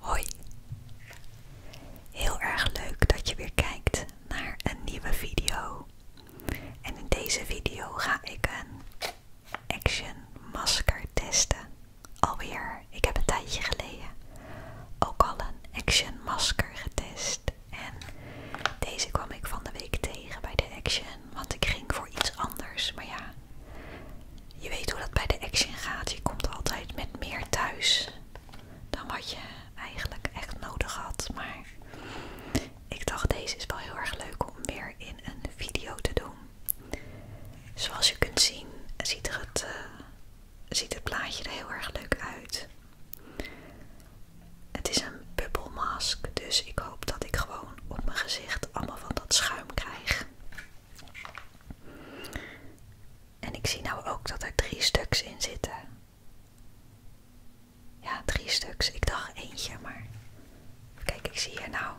Hoi, heel erg leuk dat je weer kijkt naar een nieuwe video. En in deze video ga ik een Action masker testen. Alweer, ik heb een tijdje geleden ook al een Action masker getest. En deze kwam ik van de week tegen bij de Action, want ik ging voor iets anders. Maar ja, je weet hoe dat bij de Action gaat. Je komt altijd met meer thuis dan wat je eigenlijk echt nodig had. Maar ik dacht deze is wel heel erg leuk om weer in een video te doen. Zoals je kunt zien ziet, het, eh, ziet het plaatje er heel erg leuk uit. Het is een mask, dus ik hoop dat ik gewoon op mijn gezicht allemaal van dat schuim krijg. En ik zie nou ook dat er drie stuks in zitten. Ja, drie stuks. Ik dacht eentje, maar kijk, ik zie hier nou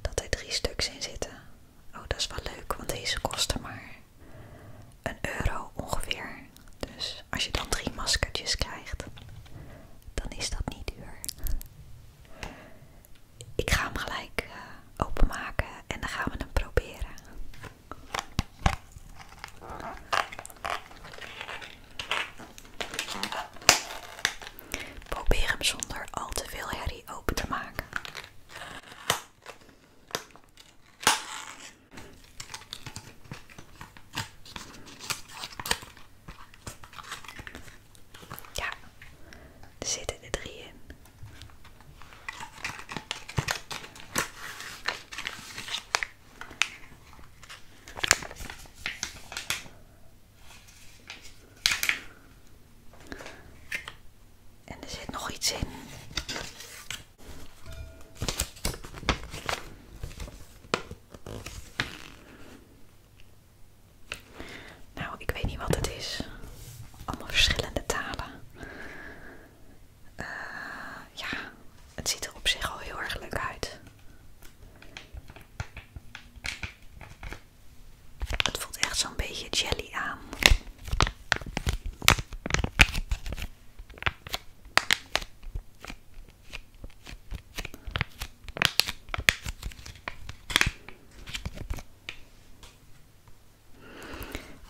dat er drie stuks in zitten. Oh, dat is wel leuk, want deze kosten maar een euro ongeveer. Dus als je dan drie maskertjes krijgt, dan is dat niet duur. Ik ga hem gelijk eh, openmaken en dan gaan we hem proberen. Probeer hem zonder al te veel herrie open te maken. Ja, er zitten er drie in. En er zit nog iets in. Nou, ik weet niet wat het is. Allemaal verschillende talen. Eh, ja, het ziet er op zich al heel erg leuk uit. Het voelt echt zo'n beetje jelly aan.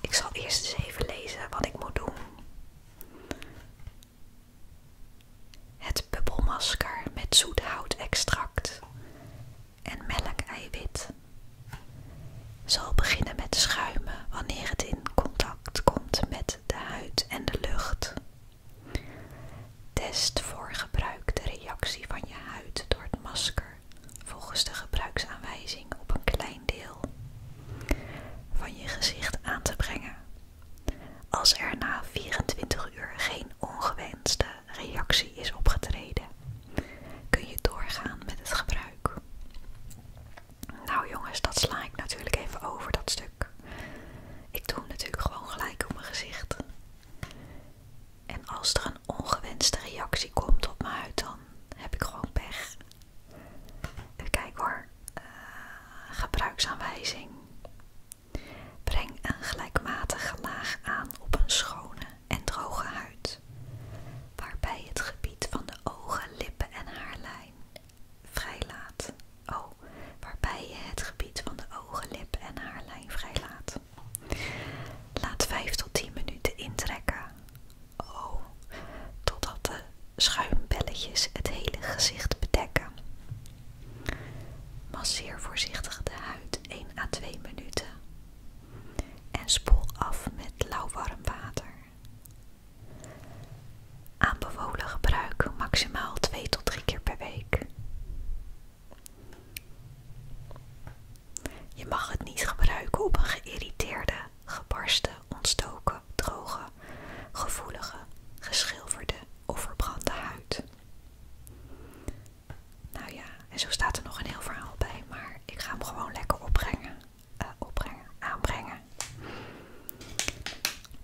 Ik zal eerst eens even lezen wat ik moet doen. Het bubbelmasker met zoethoutextract en melk eiwit zal beginnen met schuimen wanneer het in contact komt met de huid en de lucht. Test voor gebruik de reactie van je huid door het masker volgens de gebruiksaanwijzing op een klein deel van je gezicht aan te brengen. Als er na 24 uur geen ongewenste reactie is opgetreden, kun je doorgaan met het gebruik. Nou jongens, dat sla ik natuurlijk even over dat stuk. Ik doe natuurlijk gewoon gelijk op mijn gezicht. En als er een ongewenste reactie komt op mijn huid, dan heb ik gewoon pech. Kijk hoor. Eh, gebruiksaanwijzing. Breng een gelijkmatige laag aan op een schone en droge huid, waarbij het gebied van de ogen, lippen en haarlijn vrij laat. Oh, waarbij je het gebied van de ogen, lip en haarlijn vrijlaat. Laat 5 tot 10 minuten intrekken. Oh, totdat de schuimbelletjes het hele gezicht bedekken. Masseer voorzichtig de huid 1 à 2 minuten en spoel af met lauw warm water. Aanbevolen gebruik maximaal 2 tot 3 keer per week. Je mag het niet gebruiken op een geïrriteerde, gebarsten, ontstoken, droge, gevoelige, geschilferde of verbrande huid. Nou ja, en zo staat er nog een heel verhaal bij, maar ik ga hem gewoon lekker opbrengen. Eh, opbrengen, aanbrengen.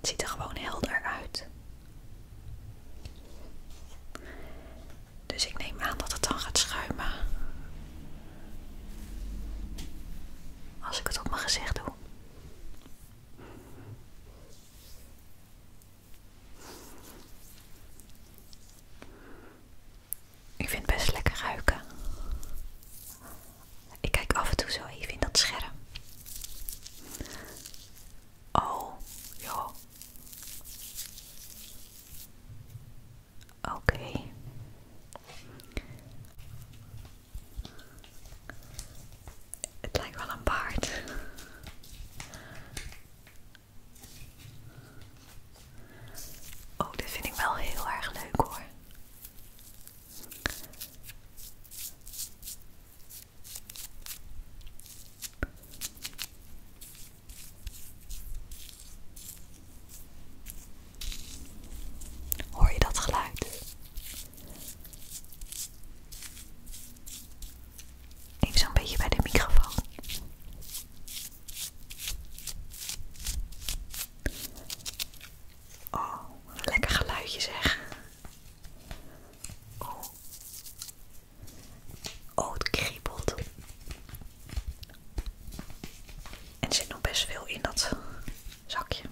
Het ziet er gewoon helder uit. Dus ik neem aan dat het dan gaat schuimen. Als ik het op mijn gezicht doe. Ik vind het best lekker ruiken. Ik kijk af en toe zo even in dat scherm. Oh, joh. Oké. Het lijkt wel een paard. Oh, dit vind ik wel heel erg leuk hoor. Hoor je dat geluid? Even zo'n beetje bij de microfoon. Oh, lekker geluidje zeg. Oh. oh, het kriebelt. En er zit nog best veel in dat zakje.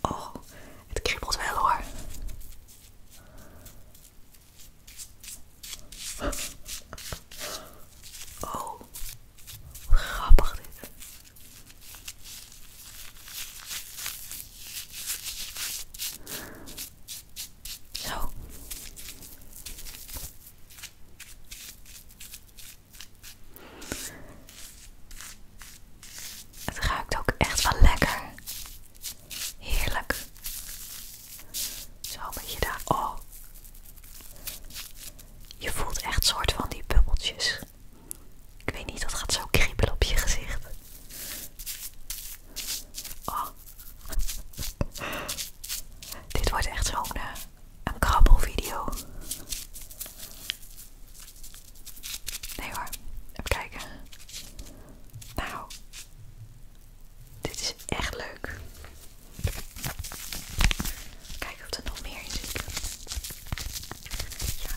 Oh, het kriebelt wel hoor. Oh, grappig dit. Zo. Het ruikt ook echt wel lekker. Heerlijk. Zo een beetje daar. Oh. Je voelt echt soort van die bubbeltjes. Ik weet niet, dat gaat zo kriebelen op je gezicht. Oh. Dit wordt echt zo'n eh, een krabbelvideo. Nee hoor, even kijken. Nou, dit is echt leuk. Kijk of er nog meer in zit. Ja.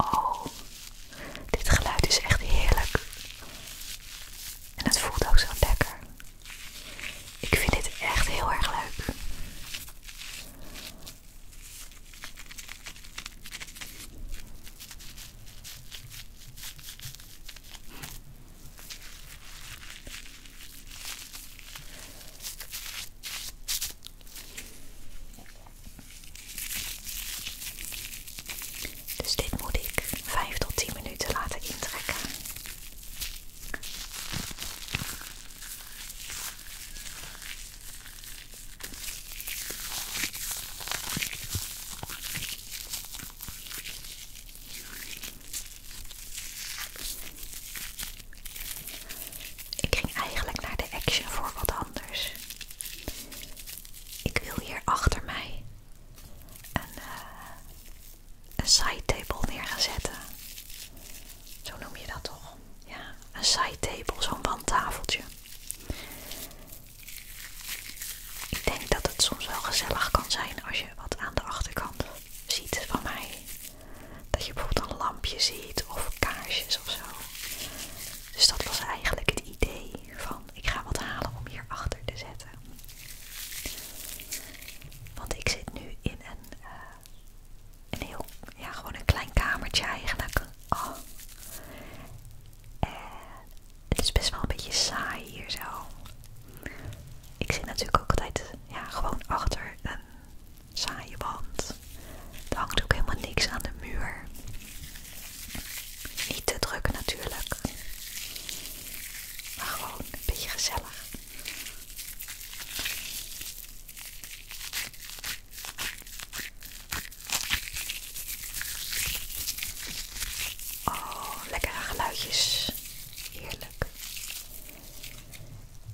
Oh, dit geluid is echt heerlijk. En het voelt ook zo lekker. Ik vind dit echt heel erg leuk. Dus dit moet ik 5 tot 10 minuten laten intrekken. Ik ging eigenlijk naar de Action voor wat anders. Ik wil hier achter mij een, eh, side table neer Zo noem je dat toch? Ja, een side table, zo'n wandtafeltje. Ik denk dat het soms wel gezellig kan zijn als je wat aan de achterkant ziet van mij. Dat je bijvoorbeeld een lampje ziet of kaarsjes of zo. Dus dat was eigenlijk het idee van ik ga wat halen om hier achter te zetten. Want ik zit nu in een, eh, heel, ja gewoon een klein kamertje eigenlijk. Oh. En het is best wel een beetje saai hier zo. Ik zit natuurlijk ook altijd ja, gewoon achter een saaie wand. Er hangt ook helemaal niks aan de muur. Niet te druk natuurlijk, maar gewoon een beetje gezellig. Oh, lekkere geluidjes. Heerlijk.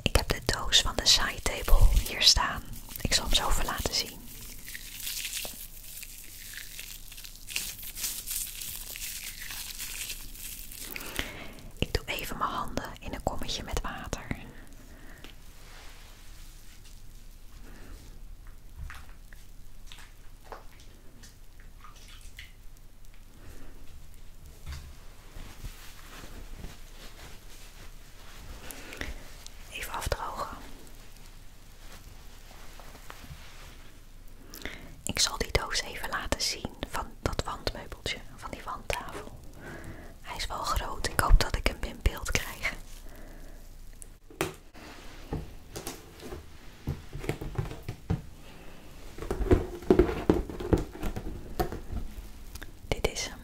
Ik heb de doos van de side table hier staan. Ik zal hem zo even laten zien. Ik doe even mijn handen in een kommetje met water. Even afdrogen. Ik zal die doos even laten zien van dat wandmeubeltje, van die wandtafel. Hij is wel groot, ik hoop dat ik hem in beeld krijg. Dit is hem.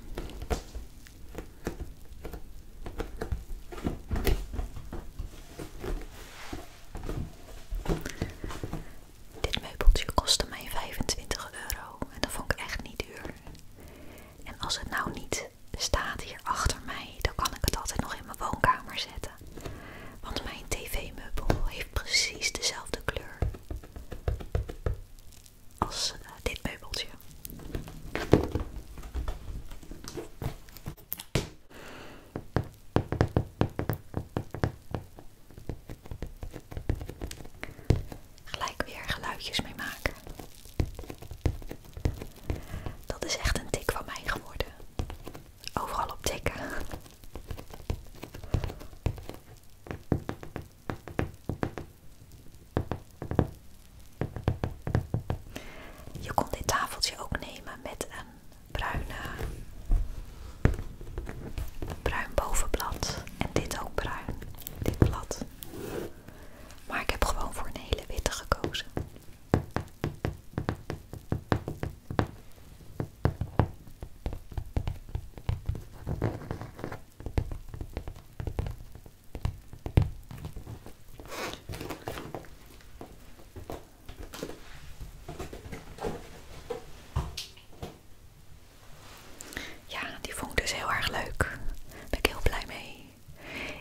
Dit meubeltje kostte mij 25 euro en dat vond ik echt niet duur. En als het nou niet staat hier achter mij, dan kan ik het altijd nog in mijn woonkamer zetten. Want mijn tv-meubel heeft precies dezelfde kleur als eh, dit meubeltje. Gelijk weer geluidjes mee maken. Dat is echt een tik van mij geworden. Overal op tikken. Je kon dit tafeltje ook nemen met een bruine, bruin bovenblad en dit ook bruin, dit blad. Maar ik heb gewoon voor een hele witte gekozen. Ja, die vond ik dus heel erg leuk. Daar ben ik heel blij mee.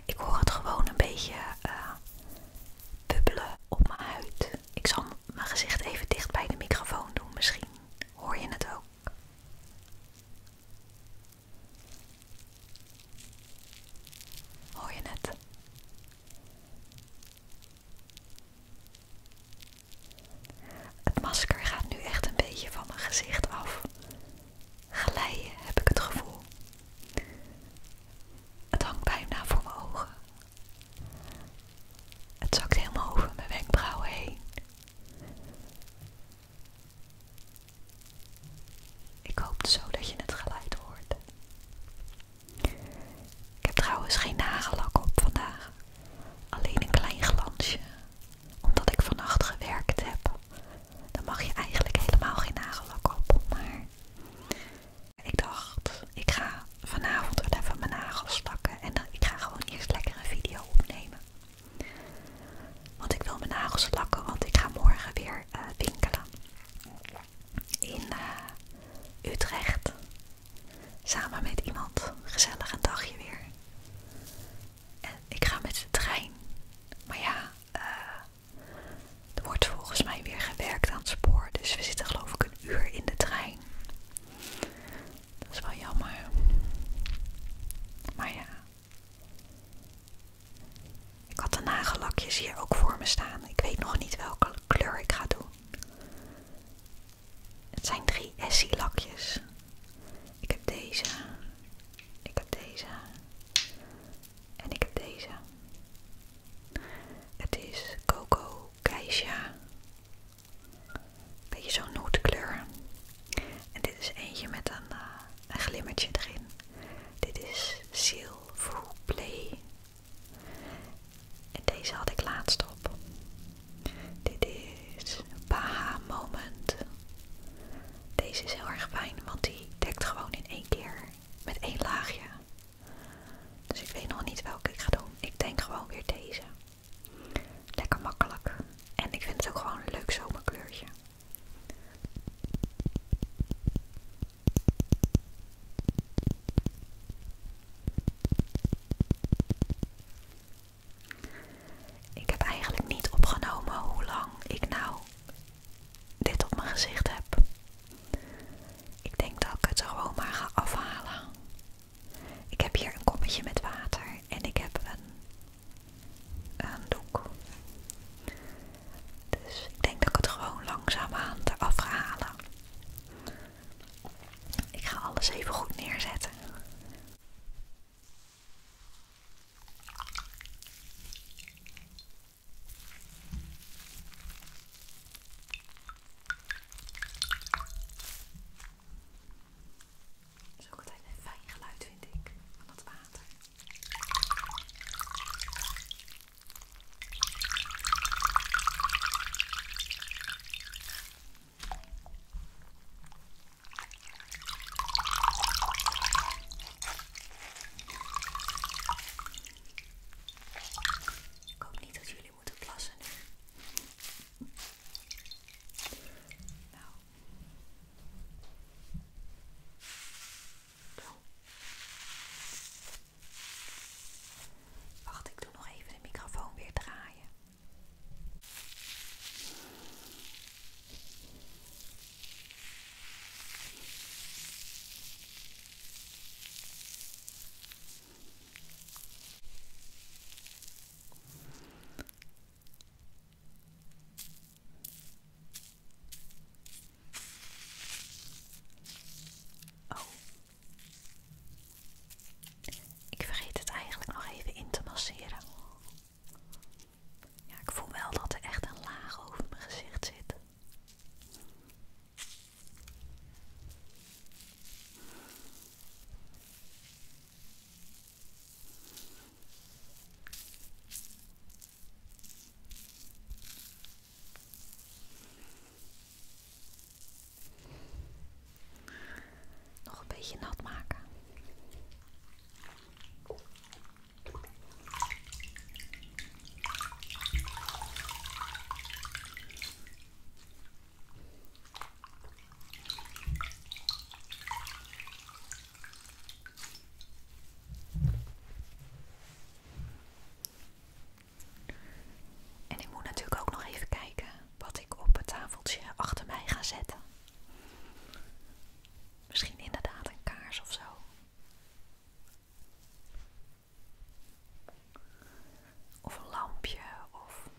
Ik hoor het gewoon een beetje eh, bubbelen op mijn huid. Ik zal mijn gezicht even dicht bij de microfoon doen, misschien hoor je het ook. Hoor je net? Het masker gaat nu echt een beetje van mijn gezicht af. Glijden heb ik het gevoel. Het hangt bijna voor mijn ogen. Het zakt helemaal over mijn wenkbrauwen heen. Ik hoop zo dat je het geluid hoort. Ik heb trouwens geen nagellak op vandaag. Alleen een klein glansje. Omdat ik vannacht gewerkt heb. Dan mag je eigenlijk helemaal geen nagellak op. Maar ik dacht, ik ga vanavond wel even mijn nagels lakken. En dan, ik ga gewoon eerst lekker een video opnemen. Want ik wil mijn nagels lakken, want ik ga morgen weer eh, winkelen in eh, Utrecht. Samen met iemand. Gezellig een dagje weer. En ik ga met de trein. Maar ja, eh, er wordt volgens mij weer gewerkt aan het spoor. Dus we zitten geloof ik een uur in de trein. Dat is wel jammer. Maar ja, ik had de nagellakjes hier ook voor me staan. Ik weet nog niet welke kleur ik ga doen. Het zijn drie Essie lakjes. Ik heb deze. Ik heb deze. En ik heb deze. Het is Coco Keisha. Beetje zo'n nootkleur. En dit is eentje met een eh, een glimmertje erin. Dit is Silver Play. En deze had ik laatst op. Dit is Baha Moment. Deze is heel erg fijn, want die dekt gewoon in één keer met één laagje. Dus ik weet nog niet welke ik ga doen. Ik denk gewoon weer deze. Lekker makkelijk. En ik vind het ook gewoon een leuk zomerkleurtje. Ik heb eigenlijk niet opgenomen hoe lang ik nou dit op mijn gezicht heb. Ik denk dat ik het er gewoon maar ga afhalen. Ik heb hier een kommetje met water en ik heb een doek. Dus ik denk dat ik het gewoon langzaam eraf ga halen. Ik ga alles even goed neerzetten. Zo altijd een fijn geluid vind ik van het water. Ik hoop niet dat jullie moeten plassen Nou. Wacht, ik doe nog even de microfoon weer draaien. Oh. Ik vergeet het eigenlijk nog even in te masseren. Ja, ik voel wel dat er echt een laag over mijn gezicht zit. Nog een beetje nat maken. En ik moet natuurlijk ook nog even kijken wat ik op het tafeltje achter mij ga zetten. Misschien inderdaad een kaars of zo. Of een lampje of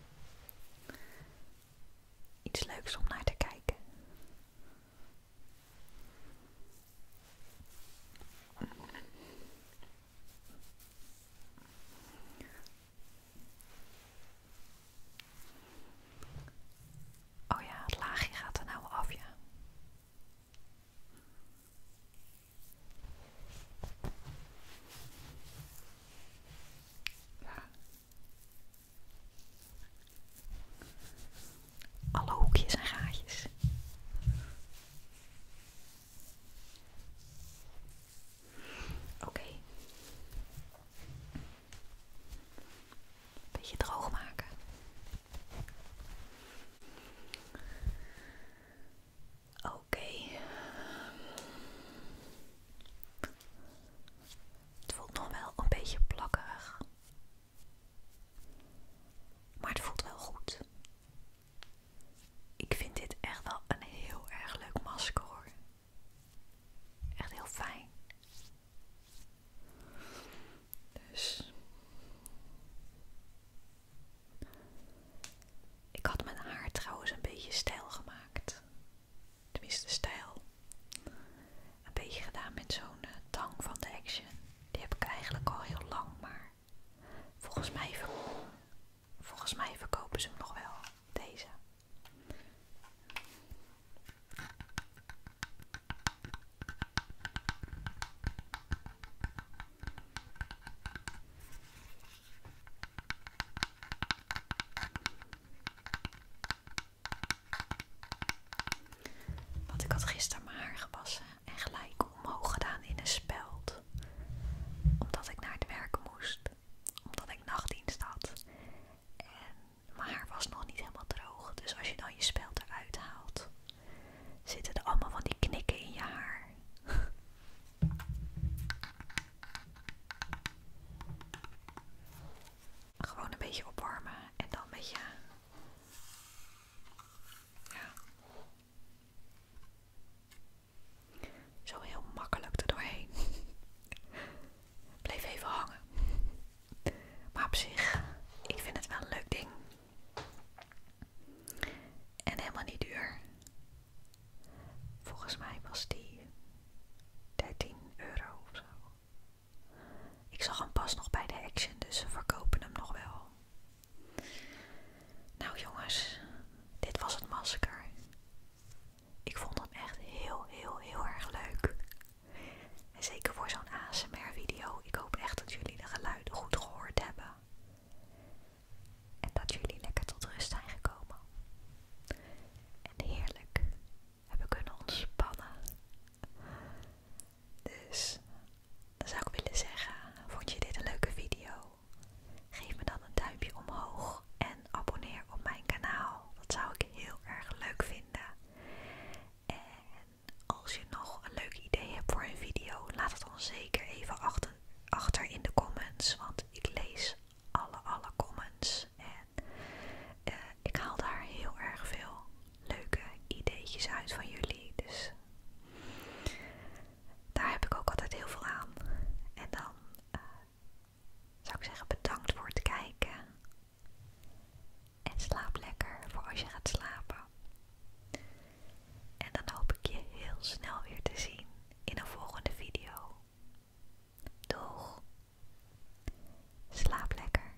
iets leuks om naar te kijken. Oh ja, het laagje gaat er nou af, ja alle hoekjes en gaatjes. Oké. Beetje droog maken. Oké. Het voelt nog wel een beetje plakkerig. Maar het voelt wel goed. Ik vind dit echt wel een heel erg leuk masker hoor. Echt heel fijn. Dus. Ik had mijn haar trouwens een beetje stijl gemaakt. Tenminste, stijl. Een beetje gedaan met zo'n eh, tang van de Action. Die heb ik eigenlijk al heel lang, maar volgens mij, verkopen ze hem nog wel, deze. Want ik had gisteren mijn haar gewassen en gelijk omhoog gedaan in een speld. Omdat ik naar het werk moest, omdat ik nachtdienst had. En mijn haar was nog niet helemaal droog, dus als je dan je speld eruit haalt, zitten er allemaal van die knikken in je haar. Gewoon een beetje opwarmen en dan met je zo heel makkelijk er doorheen. Bleef even hangen. Maar op zich, ik vind het wel een leuk ding. En helemaal niet duur. Volgens mij was die 13 euro of zo. Ik zag hem pas nog bij de Action, dus ze verkopen hem nog wel. Nou jongens, dit was het masker. Ik vond het echt heel, heel, heel erg leuk. En zeker voor zo'n ASMR-video. Ik hoop echt dat jullie de geluiden goed gehoord hebben. En dat jullie lekker tot rust zijn gekomen. En heerlijk hebben kunnen ontspannen. Dus dan zou ik willen zeggen, vond je dit een leuke video? Geef me dan een duimpje omhoog en abonneer op mijn kanaal. Dat zou ik heel erg leuk vinden. En als je nog een leuk idee hebt voor een video, laat het dan zeker even achter, in de comments. Want ik lees alle, alle comments. En eh, ik haal daar heel erg veel leuke ideetjes uit van jullie. Dus daar heb ik ook altijd heel veel aan. En dan eh, zou ik zeggen bedankt voor het kijken. En slaap lekker voor als je gaat slapen. En dan hoop ik je heel snel weer te zien in een volgende video. Doeg! Slaap lekker!